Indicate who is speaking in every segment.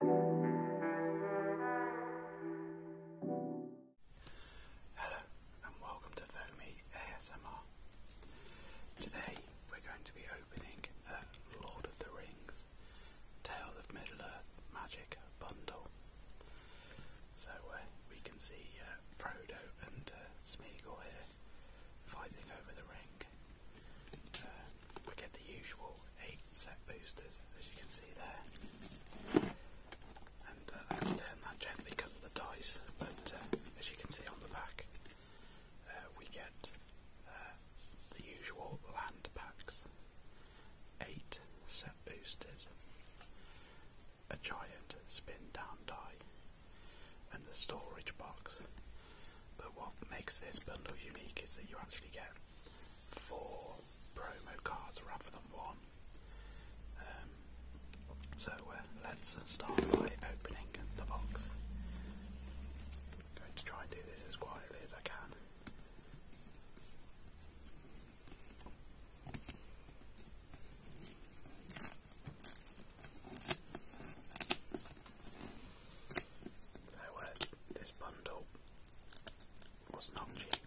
Speaker 1: Hello and welcome to Foamy ASMR. Today we're going to be opening a Lord of the Rings Tales of Middle-earth Magic Bundle. So uh, we can see uh, Frodo and uh, Smeagol here fighting over the ring. we get the usual eight set boosters, as you can see there. And uh, I can turn that gently because of the dice, but uh, as you can see on the back, uh, we get the usual land packs, eight set boosters, a giant spin down die, and the storage box. But what makes this bundle unique is that you actually get four promo cards rather than one. Um, so uh, let's start by opening the box. going to try and do this as quietly as I can. So uh, this bundle was not cheap.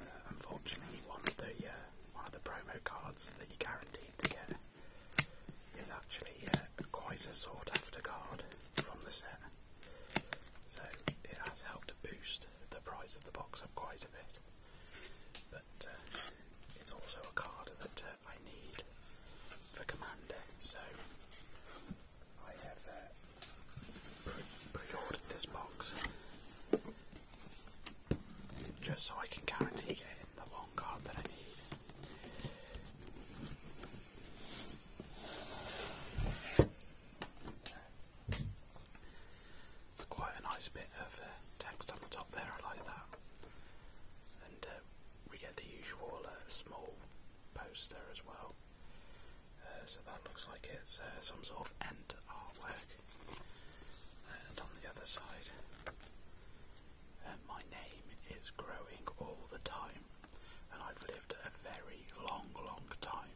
Speaker 1: Uh, unfortunately, one of the uh, one of the promo cards that you're guaranteed to get is actually uh, quite a sought-after card from the set, so it has helped boost the price of the box up quite a bit. But uh, it's also a card that uh, I need for Commander. Eh? So I have uh, pre-ordered this box just so I can guarantee getting the one card that I need. It's quite a nice bit of uh, text on the top there, I like that. And uh, we get the usual small poster as well. Uh, so that looks like it's uh, some sort of end artwork. And on the other side, uh, my name is growing all the time, and I've lived a very long, long time.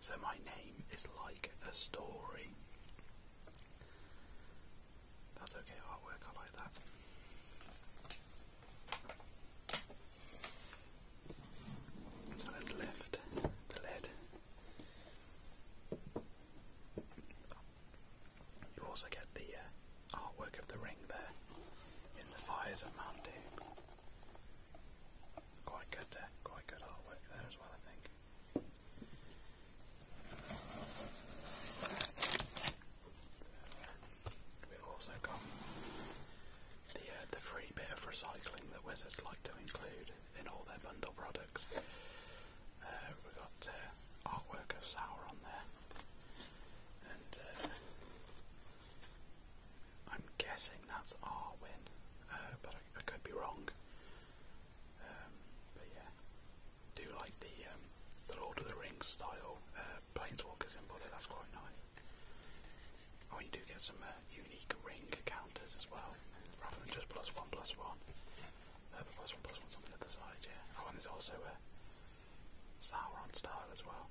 Speaker 1: So my name is like a story. That's okay artwork, I like that. So let's lift the lid. You also get the uh, artwork of the ring there in the fires of Mandu. Quite good, quite good artwork there as well, I think. We've also got the uh, the free bit of recycling that Wizards like to include in all their bundle products. Uh, we've got uh, artwork of Sauron there, and I'm guessing that's Arwen, uh, but I, could be wrong. Um, but yeah, do like the um, the Lord of the Rings style planeswalkers in Buffy, that's quite nice. Oh, you do get some uh, unique ring counters as well, rather than just plus one, plus one. Uh, one, on the other side, yeah. Oh, and there's also a uh, Sauron style as well.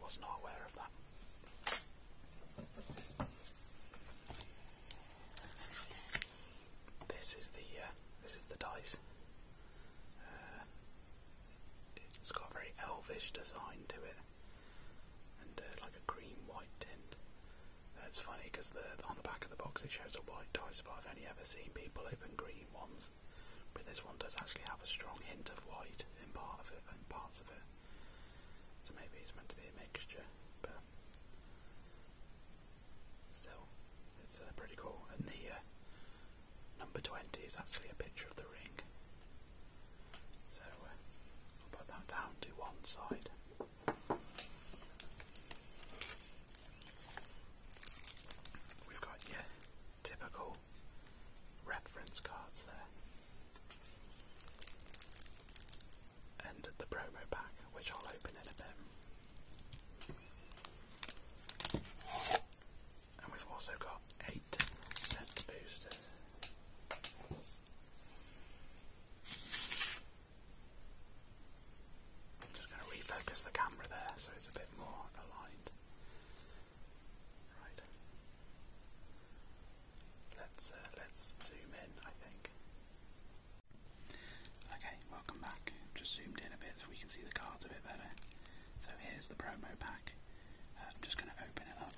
Speaker 1: Was not aware of that. This is the uh, this is the dice it's got a very elvish design to it, and uh, like a green-white tint. Uh, it's funny because on the back of the box it shows a white dice, but I've only ever seen people open green ones. But this one does actually have a strong hint of white in part of it, in parts of it. So maybe it's meant to be a mixture, but still, it's uh, pretty cool. And the uh, number 20 is actually a picture of the ring. So uh, put that down to one side. We've got yeah, typical reference cards there. And the promo pack, which I'll open in a bit. And we've also got eight set boosters. I'm just going to refocus the camera there so it's a bit more aligned. Right. Let's uh, let's zoom in, I think. Okay, welcome back. Just zoomed in a bit so we can see the cards a bit better. So here's the promo pack. Uh, I'm just going to open it up.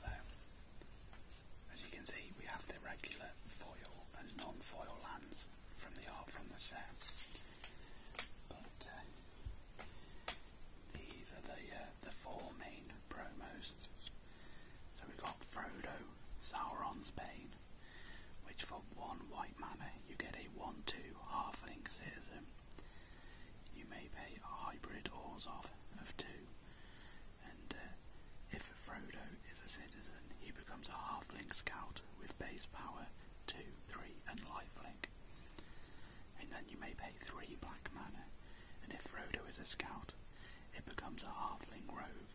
Speaker 1: So, as you can see, we have the regular foil and non-foil lands from the from the set, but uh, these are the uh, the four main promos. So we've got Frodo, Sauron's pain, which for one white. White you get a 1-2 half halfling citizen. You may pay a hybrid ores off of 2, and uh, if Frodo is a citizen, he becomes a half halfling scout with base power 2, 3 and life link. And then you may pay 3 black mana, and if Frodo is a scout, it becomes a half halfling rogue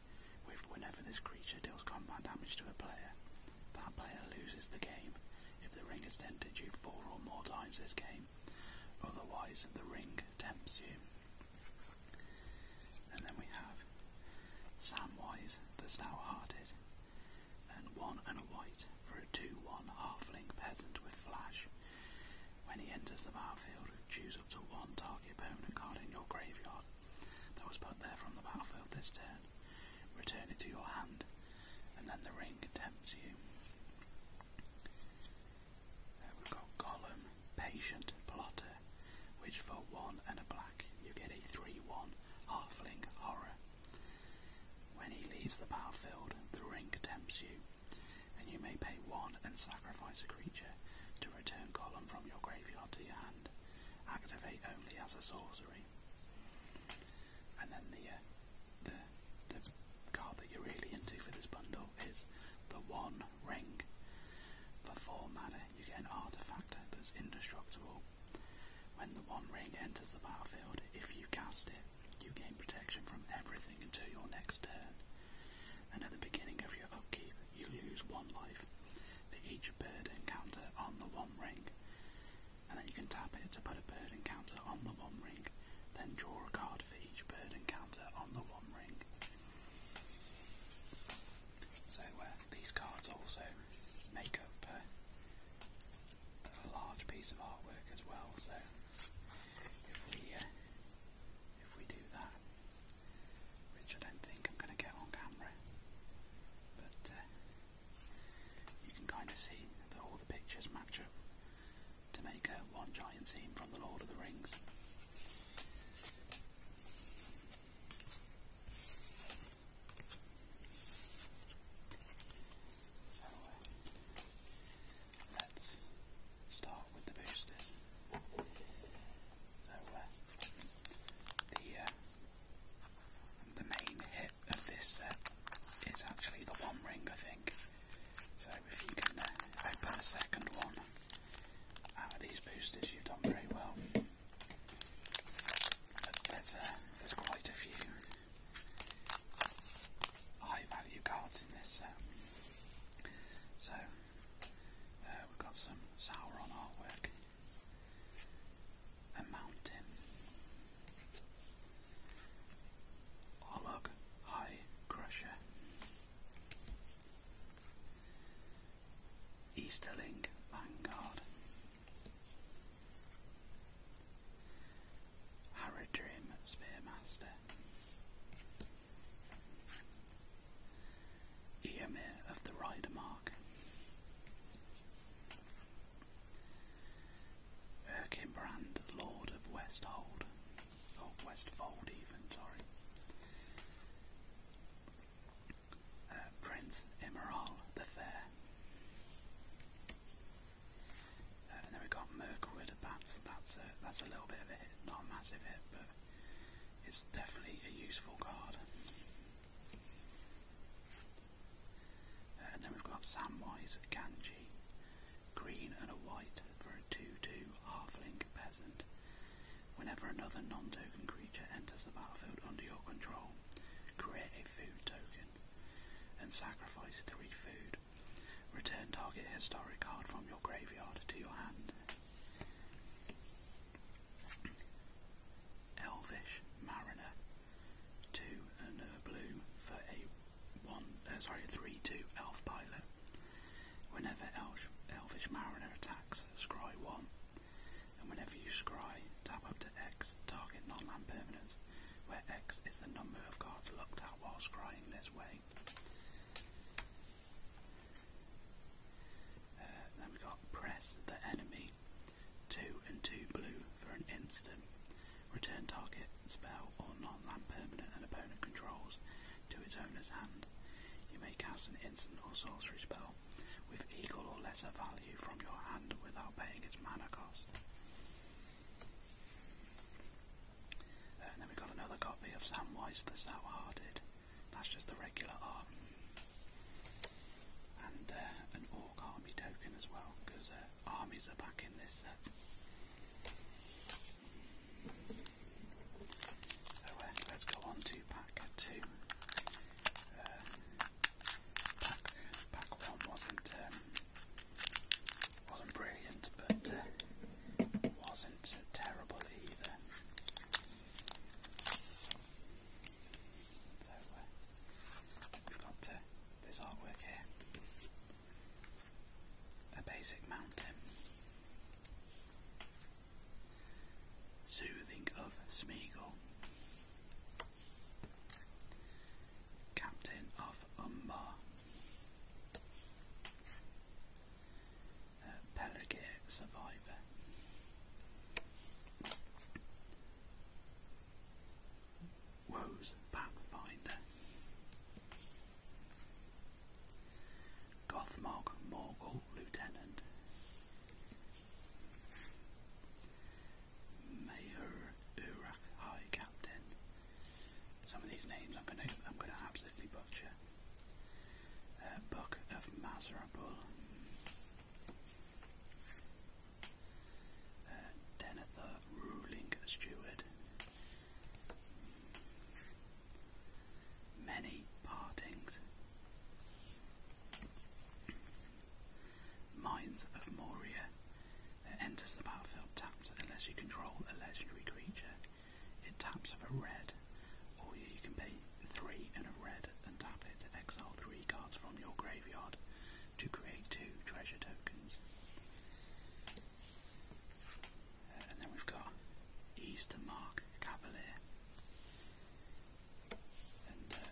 Speaker 1: with whenever this creature deals combat damage to a player, that player loses the game if the ring is tempted you four or more times this game. Otherwise, the ring tempts you. And then we have Samwise the Stout-Hearted, and one and a white for a 2 1 half-link peasant with flash. When he enters the battlefield, choose up to one target permanent card in your graveyard that was put there from the battlefield this turn. Return it to your hand and then the ring tempts you. Uh, we've got Gollum, Patient, Plotter, which for one and a black you get a 3 1 halfling horror. When he leaves the battlefield, the ring tempts you, and you may pay one and sacrifice a creature to return Gollum from your graveyard to your hand. Activate only as a sorcery. And then uh, the, card that you're really into for this bundle is the One Ring. For four mana, you get an artifact that's indestructible. When the One Ring enters the battlefield, if you cast it, you gain protection from everything until your next turn. And at the beginning of your upkeep, you lose one life for each bird encounter on the One Ring and then you can tap it to put a bird encounter on the one ring, then draw a card for each bird encounter on the one ring. So uh, these cards also make up uh, a large piece of artwork as well. So if we uh, if we do that, which I don't think I'm going to get on camera, but you can kind of see that all the pictures match up to make one giant scene from The Lord of the Rings. So uh, let's start with the boosters. So uh, the uh, the main hit bit of this set is actually the one ring, I think. So if you can uh, open the second one out of these boosters, you've done very well. But there's, uh, there's quite a few high value cards in this set. So uh, we've got some Sauron artwork a mountain. Olog High Crusher. Easterling Vanguard. Haradrim Spearmaster. Eomir of the Rider Mark. Erkinbrand, Lord of Westhold, or Westfold even, sorry. Uh, Prince Emerald the Fair. Uh, and then we got Mirkwood Bats. That's that's a little bit of a hit, not a massive hit, but it's definitely a useful card and uh, then we've got Samwise Ganji, green and a white for a 2-2 halfling peasant. Whenever another non-token creature enters the battlefield under your control, create a food token and sacrifice 3 food. Return target historic card from your graveyard to your hand. Elvish Mariner, two and blue for a one. Uh, sorry, three two elf pilot. Whenever elf, elfish mariner attacks, scry one, and whenever you scry, tap up to X, target non-land permanents, where X is the number of cards looked at while scrying this way. Uh, then we got press the enemy 2 and 2 blue for an instant. Return target, spell, or non land permanent and opponent controls to its owner's hand. You may cast an instant or sorcery spell with equal or lesser value from your hand without paying its mana cost. Uh, and then we've got another copy of Samwise the sour That's just the regular art. And uh, an army token as well because uh, armies are back in this So uh, let's go on to pack two. Uh, pack, one wasn't um, wasn't brilliant, but wasn't terrible either. So we've got uh, this artwork here. A basic mountain. Soothing of Smeagol. Captain of Umbar. Pelagic Survivor. Rose Pathfinder Gothmog Morgul Lieutenant Mayor Urak High Captain. Some of these names I'm gonna I'm gonna absolutely butcher. Uh, Book of Mazarbul. Uh, Denethor ruling steward. Many partings. Mines of Moria. It enters the battlefield tapped unless you control a legendary creature. It taps for red, or you can pay three and a red and tap it to exile three cards from your graveyard to create two treasure tokens. Uh, and then we've got Easter Mark Cavalier. And uh,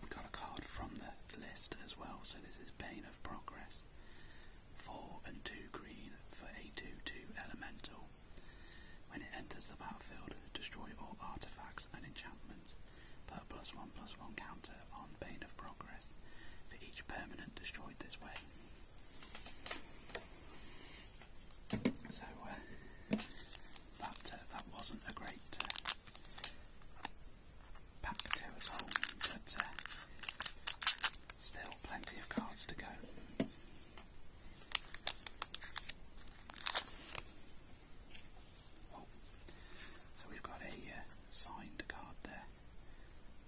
Speaker 1: we've got a card from the list as well, so this is Bane of Progress. Four and two green for a two two elemental. When it enters the battlefield, destroy all artifacts and enchantments Per plus one plus one counter on the Bane of Progress for each permanent destroyed this way. So uh, that uh, wasn't a great uh, pack to at but uh, still plenty of cards to go. So we've got a uh, signed card there.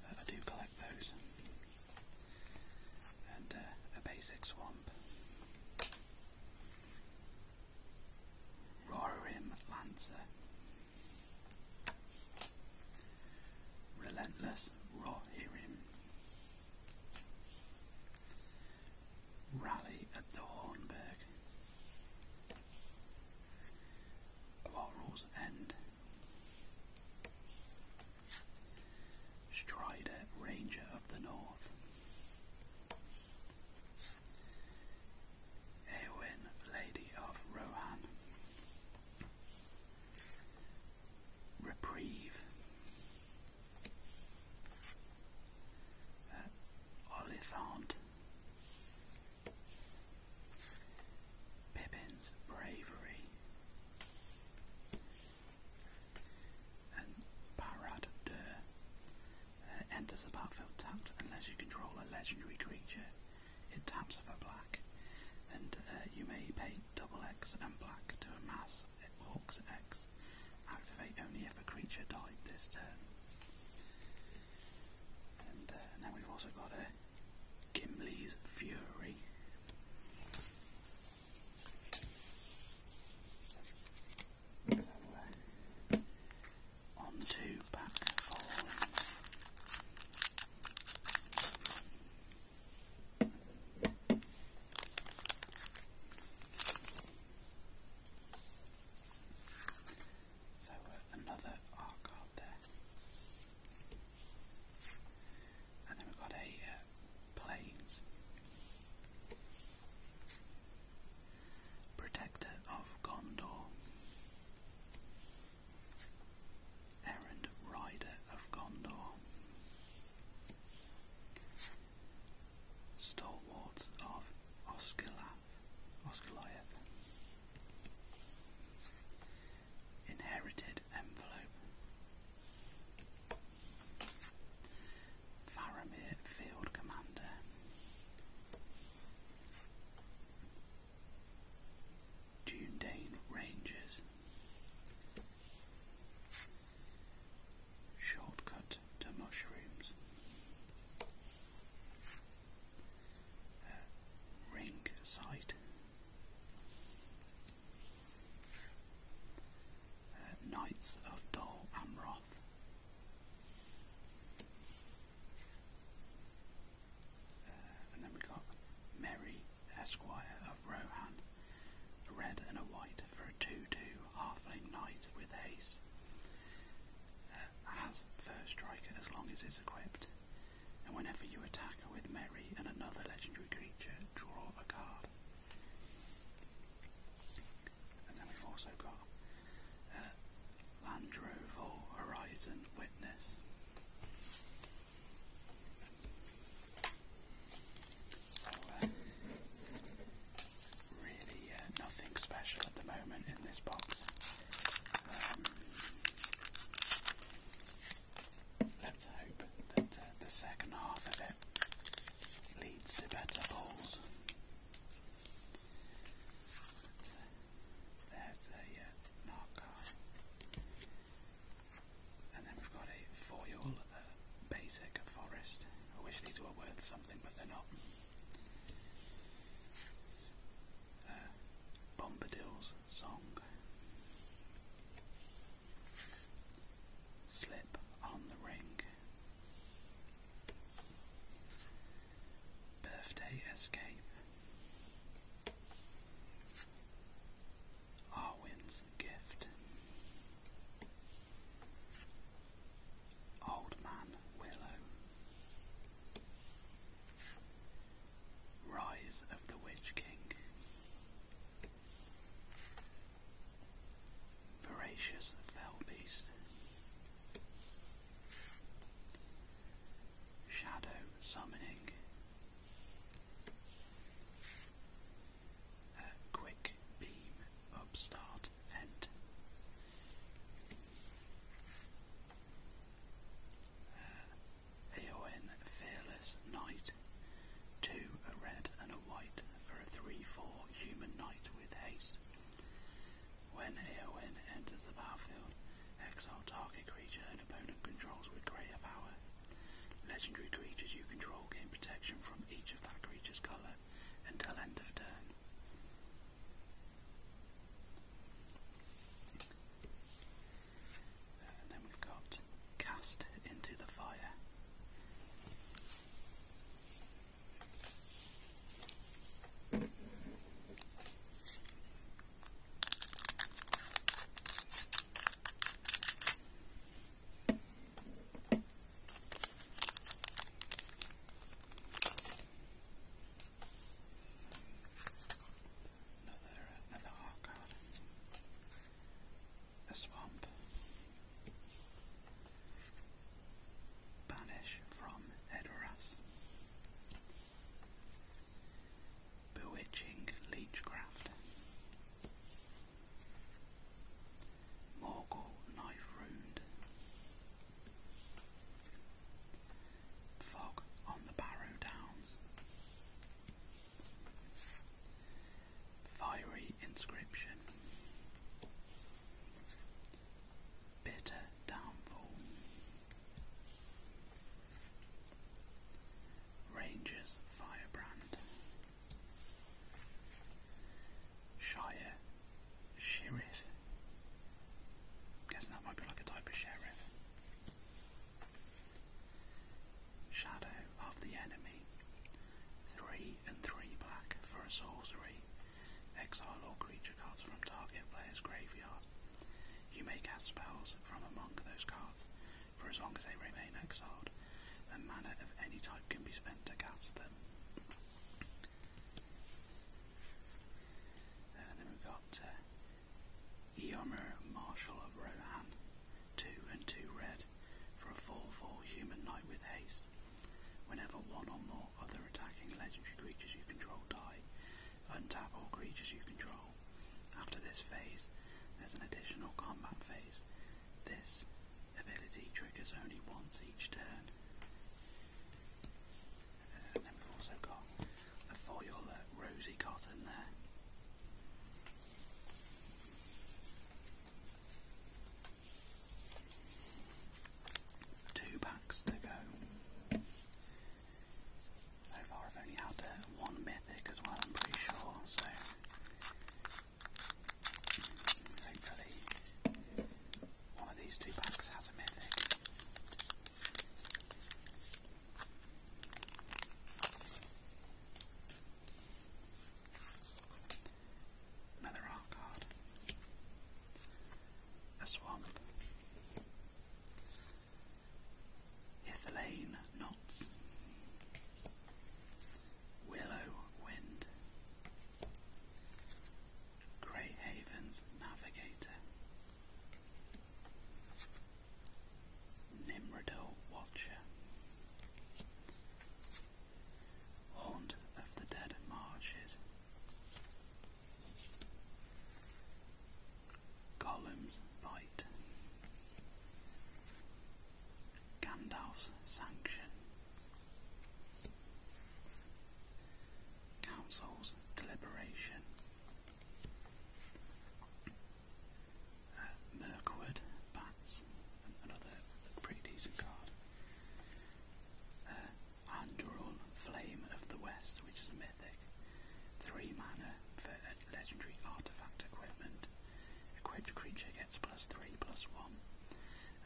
Speaker 1: Uh, I do collect those. And uh, a basic swamp. Roarim Lancer. Relentless Rohirim. Rally at the Hornberg of our Strider, Ranger of the North. Eowyn, Lady of Rohan. Reprieve. Uh, Pippin's bravery and Parade de uh, enters the battlefield tapped unless you control a legendary creature. It taps for black, and uh, you may pay double X and black to amass Hawk's X. Activate only if a creature died this turn. And uh, now we've also got a uh, Gimli's Fury. Uh, on to back falling. So uh, another art there. And then we've got a uh, planes. Protector of Gondor. Errand Rider of Gondor. Stalwart of Osgiliath was Goliath. Inherited envelope. Faramir Field Commander. Dundane Rangers. Shortcut to mushrooms ring side. Uh, Knights of Dol Amroth. Uh, and then we got Merry Esquire of Rohan, a red and a white for a 2-2 half halfling knight with haste. has uh, first striker as long as it's equipped and whenever you attack with Merry and another legendary creature, draw a card. And then we've also got uh, Landroval Horizon Witness. So, uh, really uh, nothing special at the moment in this box let's hope that uh, the second half of it leads to better balls. Uh, there's a uh, And then we've got a foil uh, basic forest. I wish these were worth something, but they're not uh, Bombadil's song. Slip on the ring. Birthday escape. Arwen's gift. Old Man Willow. Rise of the Witch King. Voracious Fell Beast. Shadow Summoning. quick Beam Upstart End. Aon Fearless Knight. Two, a red and a white for a 3-4 human knight with haste. When Aon enters the battlefield, exile target creature an opponent controls with greater power. Legendary creatures you control gain protection from each of that creature's colour until end of turn then we've got cast into the fire. Another, another hot A swamp. Banish from Edoras. Bewitching Leechcraft. Morgul Knife Ruined. Fog on the Barrow Downs. Fiery Inscription. Bitter Downfall. Rangers Firebrand. Shire Sheriff. i that might be like a type of sheriff. Shadow of the Enemy. Three and three black for a sorcery. Exile all creature cards from target player's graveyard. You may cast spells from among those cards for as long as they remain exiled, A mana of any type can be spent to cast them. And then we've got uh, Eomer Marshal of Rohan, two and two red, for a 4-4 human knight with haste. Whenever one or more other attacking legendary creatures you control die, untap all creatures you control. After this phase, there's an additional combat phase. This ability triggers only once each turn. Uh, then we've also got the foil uh, rosy cotton there. Two packs to go. So far, I've only had uh, one mythic as well, I'm pretty sure. So, hopefully, one of these two packs has a mythic. Another rock card. A swamp. Hitherlane knots. Willow wind. Grey navigator. Nimrodil Watcher Haunt of the Dead Marches Gollum's Bite Gandalf's Sanction Council's Deliberation uh, Mirkwood, Bats, another pretty decent card. Uh, Flame of the West, which is a mythic. Three mana for legendary artifact equipment. Equipped creature gets plus three, plus one.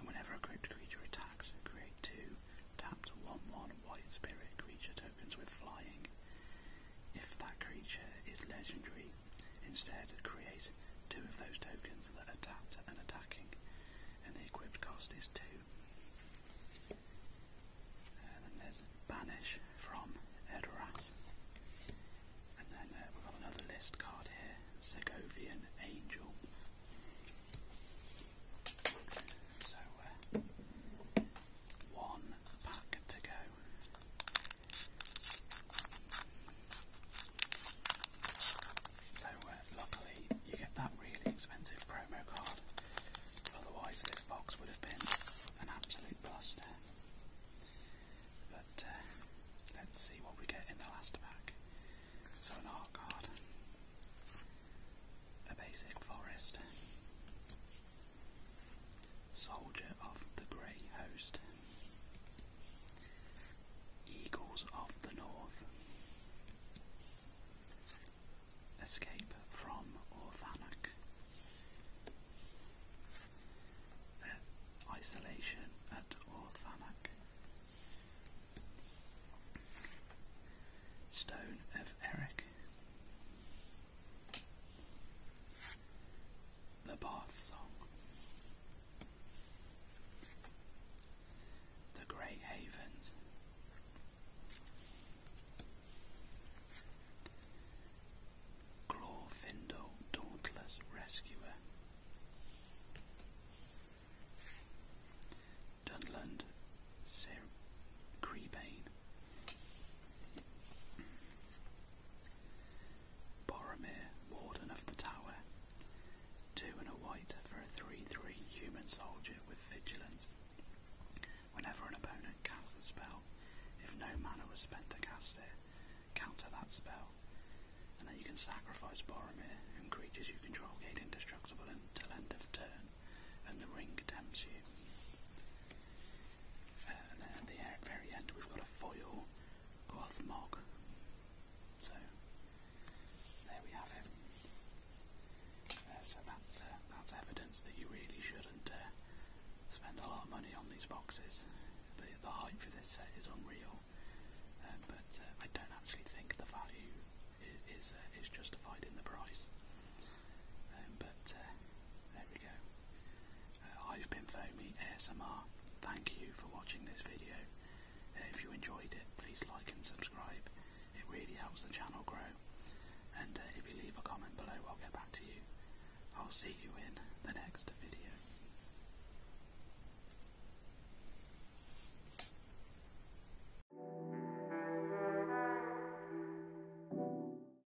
Speaker 1: And whenever a equipped creature attacks, create two tapped 1 1 white spirit creature tokens with flying. If that creature is legendary, instead create two of those tokens that are tapped and attacking, and the equipped cost is two. And then there's Banish from Edoras. And then uh, we've got another list card here, Segovian Angel. So, uh, one, one to go. So uh, luckily you get that really expensive promo card, otherwise this box would have been an absolute buster. But uh, let's see what we get in the last pack. So an art card, a basic forest, Soldier of the Grey Host, Eagles of the North, Escape from Orthanok, Isolation at Orthanok, Stone of Eric, the Bath Song. The Great Havens. Clawfindle, Dauntless Rescuer. Dunland, Sir Creebane. Boromir, Warden of the Tower. Two and a white for a 3-3 human soldier with vigilance. Whenever an opponent casts a spell, if no mana was spent to cast it, counter that spell. And then you can sacrifice Boromir and creatures you control gain indestructible until end of turn, and the ring tempts you and then at the very end we've got a foil cloth mog. So there we have it. Uh, so that's uh, that's evidence that you really shouldn't uh, spend a lot of money on these boxes. The, the hype for this set is unreal, uh, but uh, I don't actually think the value is is, uh, is justified in the price. Um, but uh, there we go. Uh, I've been Foamy ASMR. Thank you for watching this video. Uh, if you enjoyed it, please like and subscribe. It really helps the channel grow. And if you leave a comment below, I'll get back to you. I'll see you in the next video.